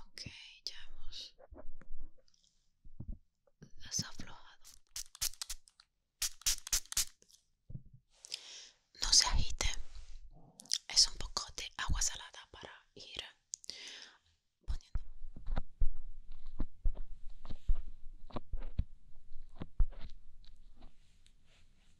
Ok, ya hemos desaflojado. No se agite. Es un poco de agua salada para ir poniendo.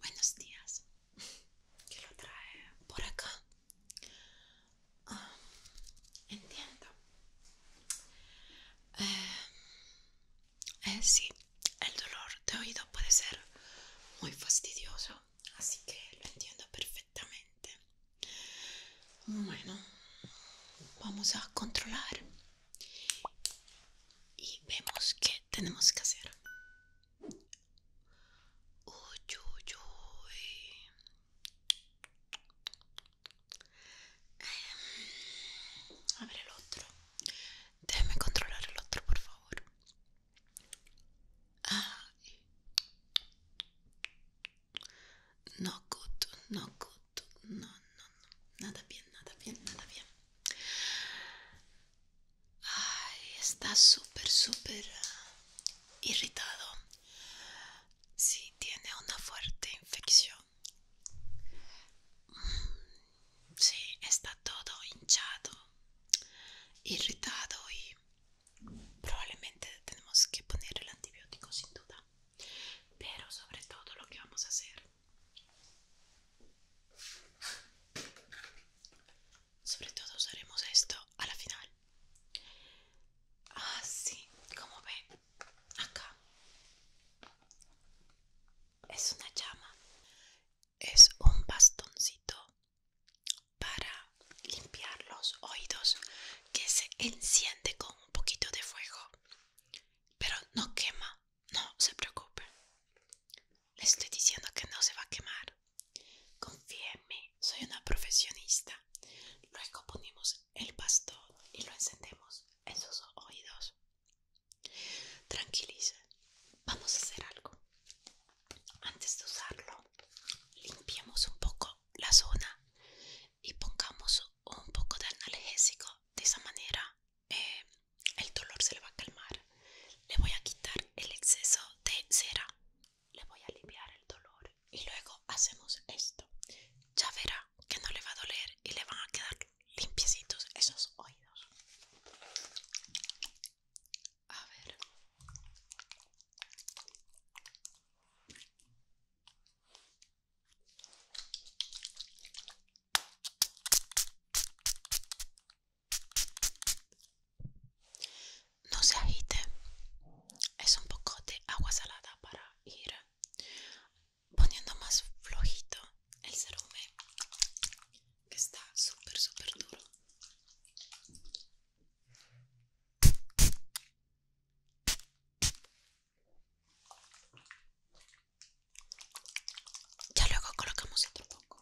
Buenos días. ¿Qué lo trae por acá? Ah, entiendo. Eh, eh, sí, el dolor de oído puede ser muy fastidioso así que lo entiendo perfectamente. Bueno, vamos a controlar y vemos qué tenemos que hacer. Uy, uy, uy. Em, a ver el otro. Déjeme controlar el otro, por favor. No cuto, no cuto, no, no, no, nada bien, nada bien, nada bien. Ay, está súper, súper ah, irritado. Sí, tiene una fuerte infección. Mm, sí, está todo hinchado irritado y probablemente tenemos que poner el antibiótico sin duda pero sobre todo lo que vamos a hacer sobre todo usaremos esto a la final así ah, como ven acá es una llama es un bastoncito para limpiar los oídos que se enciende con un poquito de fuego pero no quema no se preocupe le estoy diciendo que no se va a quemar confíe en mí soy una profesionista luego ponemos el bastón y lo encendemos en sus oídos tranquilice vamos a hacer algo antes de usarlo limpiemos un poco la zona y pongamos un poco de analgésico de esa manera eh, el dolor se le va a calmar le voy a quitar el exceso de cera le voy a aliviar el dolor y luego hacemos esto ya verá que no le va a doler y le van a quedar limpiecitos esos oídos a ver. No se agite. Es un poco de agua salada para ir poniendo más flojito el cerumen que está súper, súper duro. Ya luego colocamos otro poco.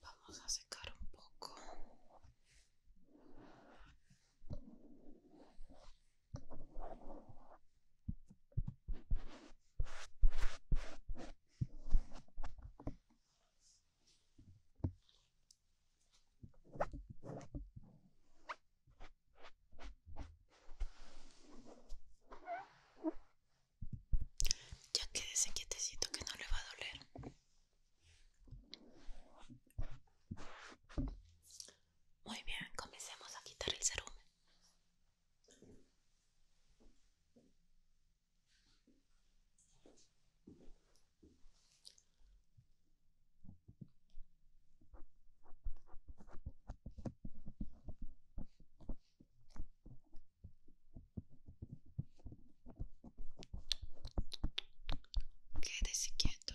Vamos a secar un poco. Ya quédese quietecito que no le va a doler. Muy bien, comencemos a quitar el cerumen. Quédese quieto.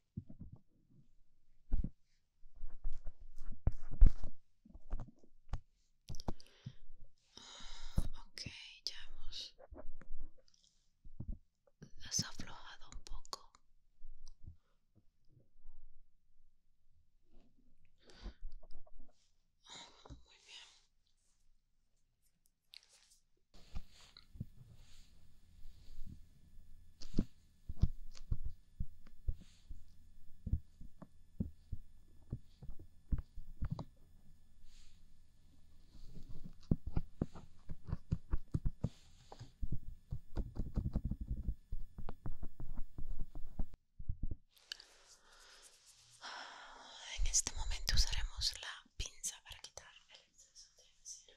Ok, ya hemos desaflojado un poco. Muy bien. En este momento usaremos la pinza para quitar el exceso de acero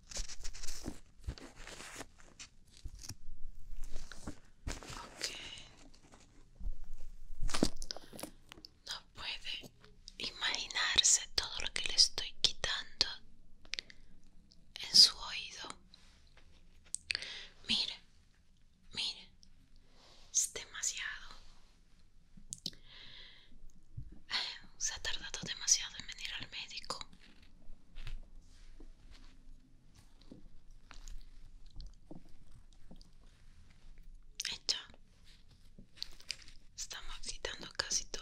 No puede imaginarse todo lo que le estoy quitando en su oído. Mire, mire, es demasiado. Se ha tardado demasiado en venir al médico. Estamos visitando casi todo.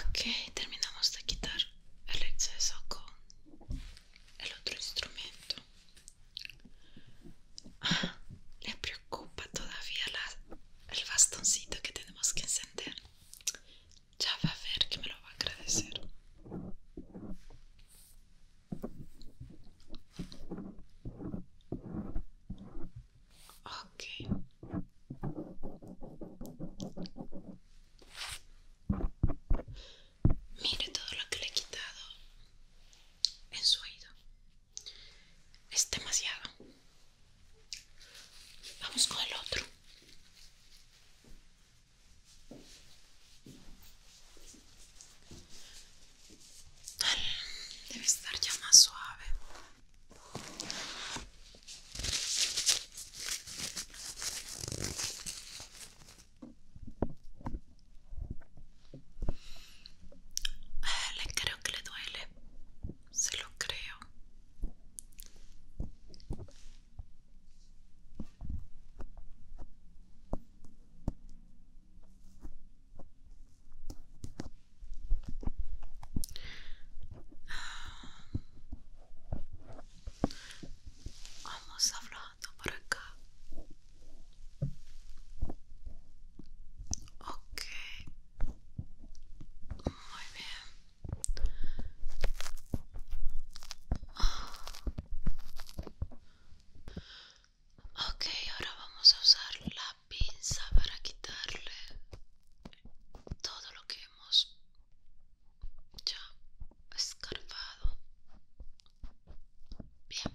Ok, terminamos de quitar el exceso con el otro instrumento. Ah, le preocupa todavía el bastoncito que tenemos que encender. Ya va a ver que me lo va a agradecer. Ok. Mire todo lo que le he quitado en su oído. Es demasiado. Vamos con el otro. Debe estar ya más suave. Ah, le creo que le duele, se lo creo. Vamos hablando por acá. Ok. Muy bien. Ok, ahora vamos a usar la pinza para quitarle todo lo que hemos ya escarpado. bien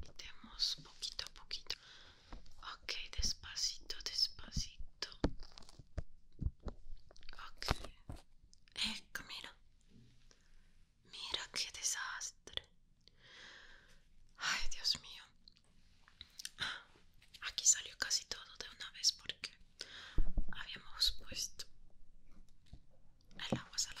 Quitemos poquito a poquito. Ok, despacito, despacito. Ok. Eh, Mira qué desastre. Ay, Dios mío. aquí salió casi todo de una vez porque habíamos puesto el agua salada.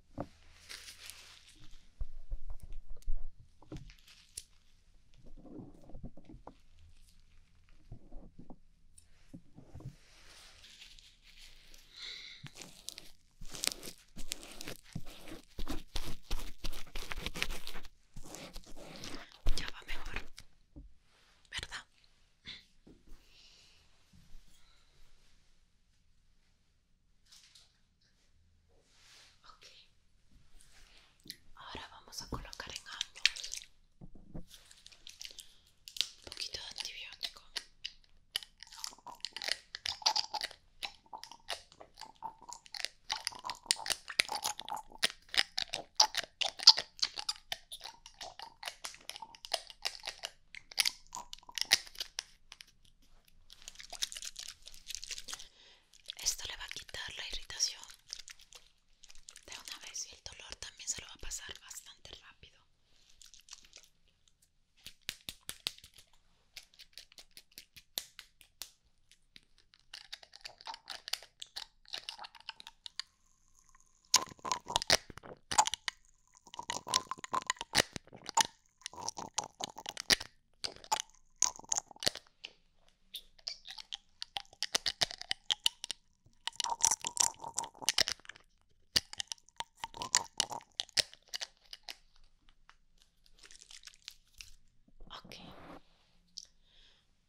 Ya va mejor, ¿verdad? ahora vamos a colocar en ambos un poquito de antibiótico. Esto le va a quitar la irritación de una vez y el dolor también se lo va a pasar bastante rápido. Ok,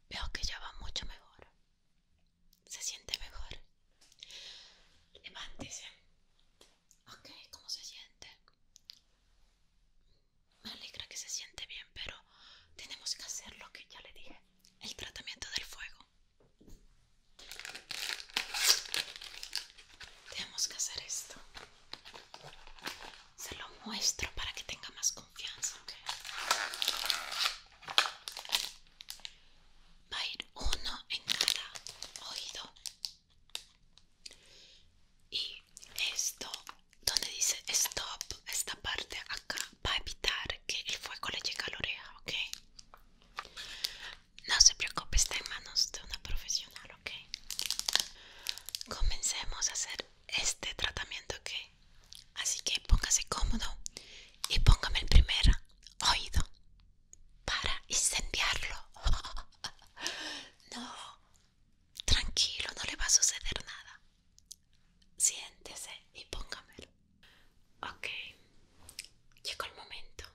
veo que ya va mucho mejor. Se siente mejor. Levántese. Ok, ¿cómo se siente? Me alegra que se siente bien, pero tenemos que hacer lo que ya le dije. El tratamiento del fuego. Tenemos que hacer esto. Se lo muestro para que tenga más confianza, Va a ir uno en cada oído y esto, donde dice stop, esta parte acá para evitar que el fuego le llegue a la oreja, ¿ok? No se preocupe, está en manos de una profesional, ¿ok? Comencemos a hacer este tratamiento, ¿ok? Así que póngase cómodo y póngame el primer oído para incendiarlo. no, tranquilo, no le va a suceder nada. Siéntese y póngamelo. Ok, llegó el momento.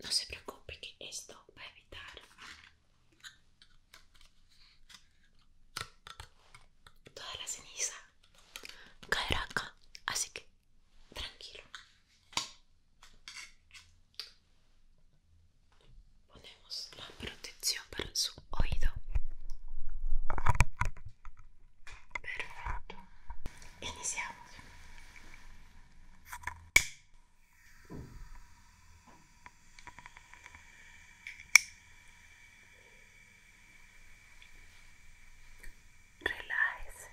No se preocupe que esto va a evitar toda la ceniza caerá acá. Así que tranquilo. Ponemos la protección para su oído. Perfecto. Iniciamos. Relájese.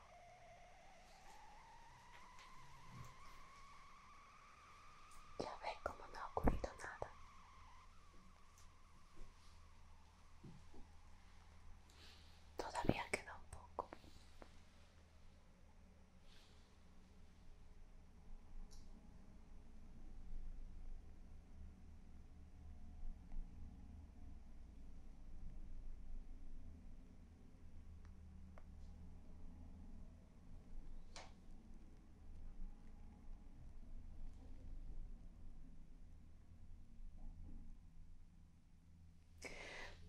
Ya ve cómo no ha ocurrido nada. Todavía queda un poco.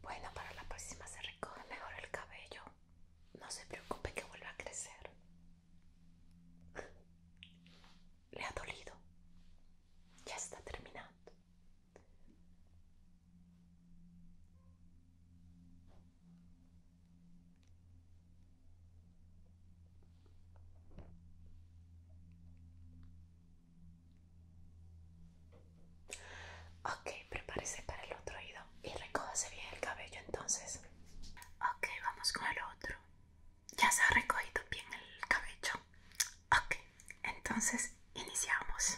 Bueno, para la próxima se recoge mejor el cabello. No se preocupe que vuelve a crecer. Le ha dolido. Ya está terminando. Ok, prepárese para el otro oído y recójase bien el cabello entonces. Ok, vamos con el otro. Ya se ha recogido bien el cabello. Ok, entonces iniciamos.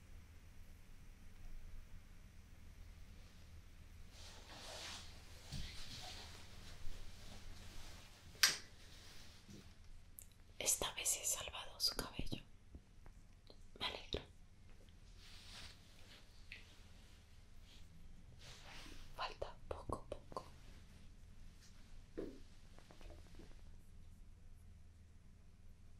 Esta vez he salvado su cabello. Me alegro. Falta poco a poco.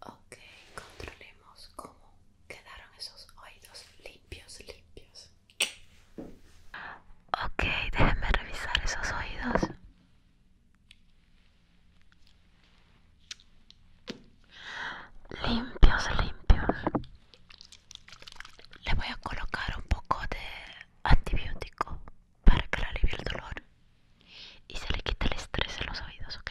Ok, controlemos cómo quedaron esos oídos limpios, limpios. Ok, déjenme revisar esos oídos. Limpios, limpios. Le voy a colocar un poco de antibiótico para que le alivie el dolor y se le quite el estrés en los oídos, ¿ok?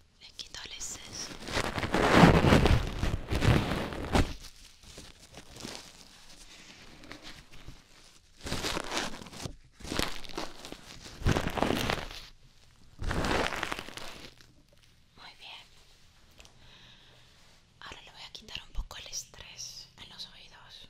le quito el exceso muy bien ahora le voy a quitar un poco el estrés en los oídos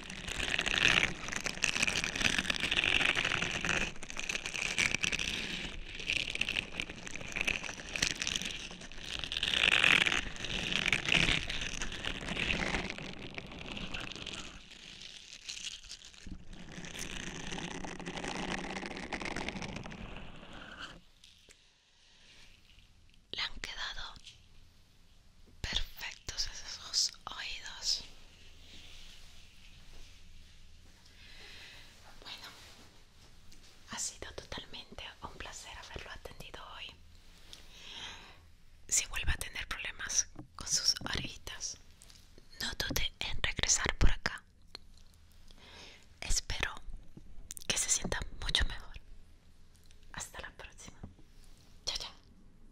Le han quedado perfectos esos oídos. Bueno, ha sido totalmente un placer haberlo atendido hoy. Si vuelve a tener problemas con sus orejitas, no dude en regresar por acá. Espero que se sienta mucho mejor. Hasta la próxima. Chao, chao.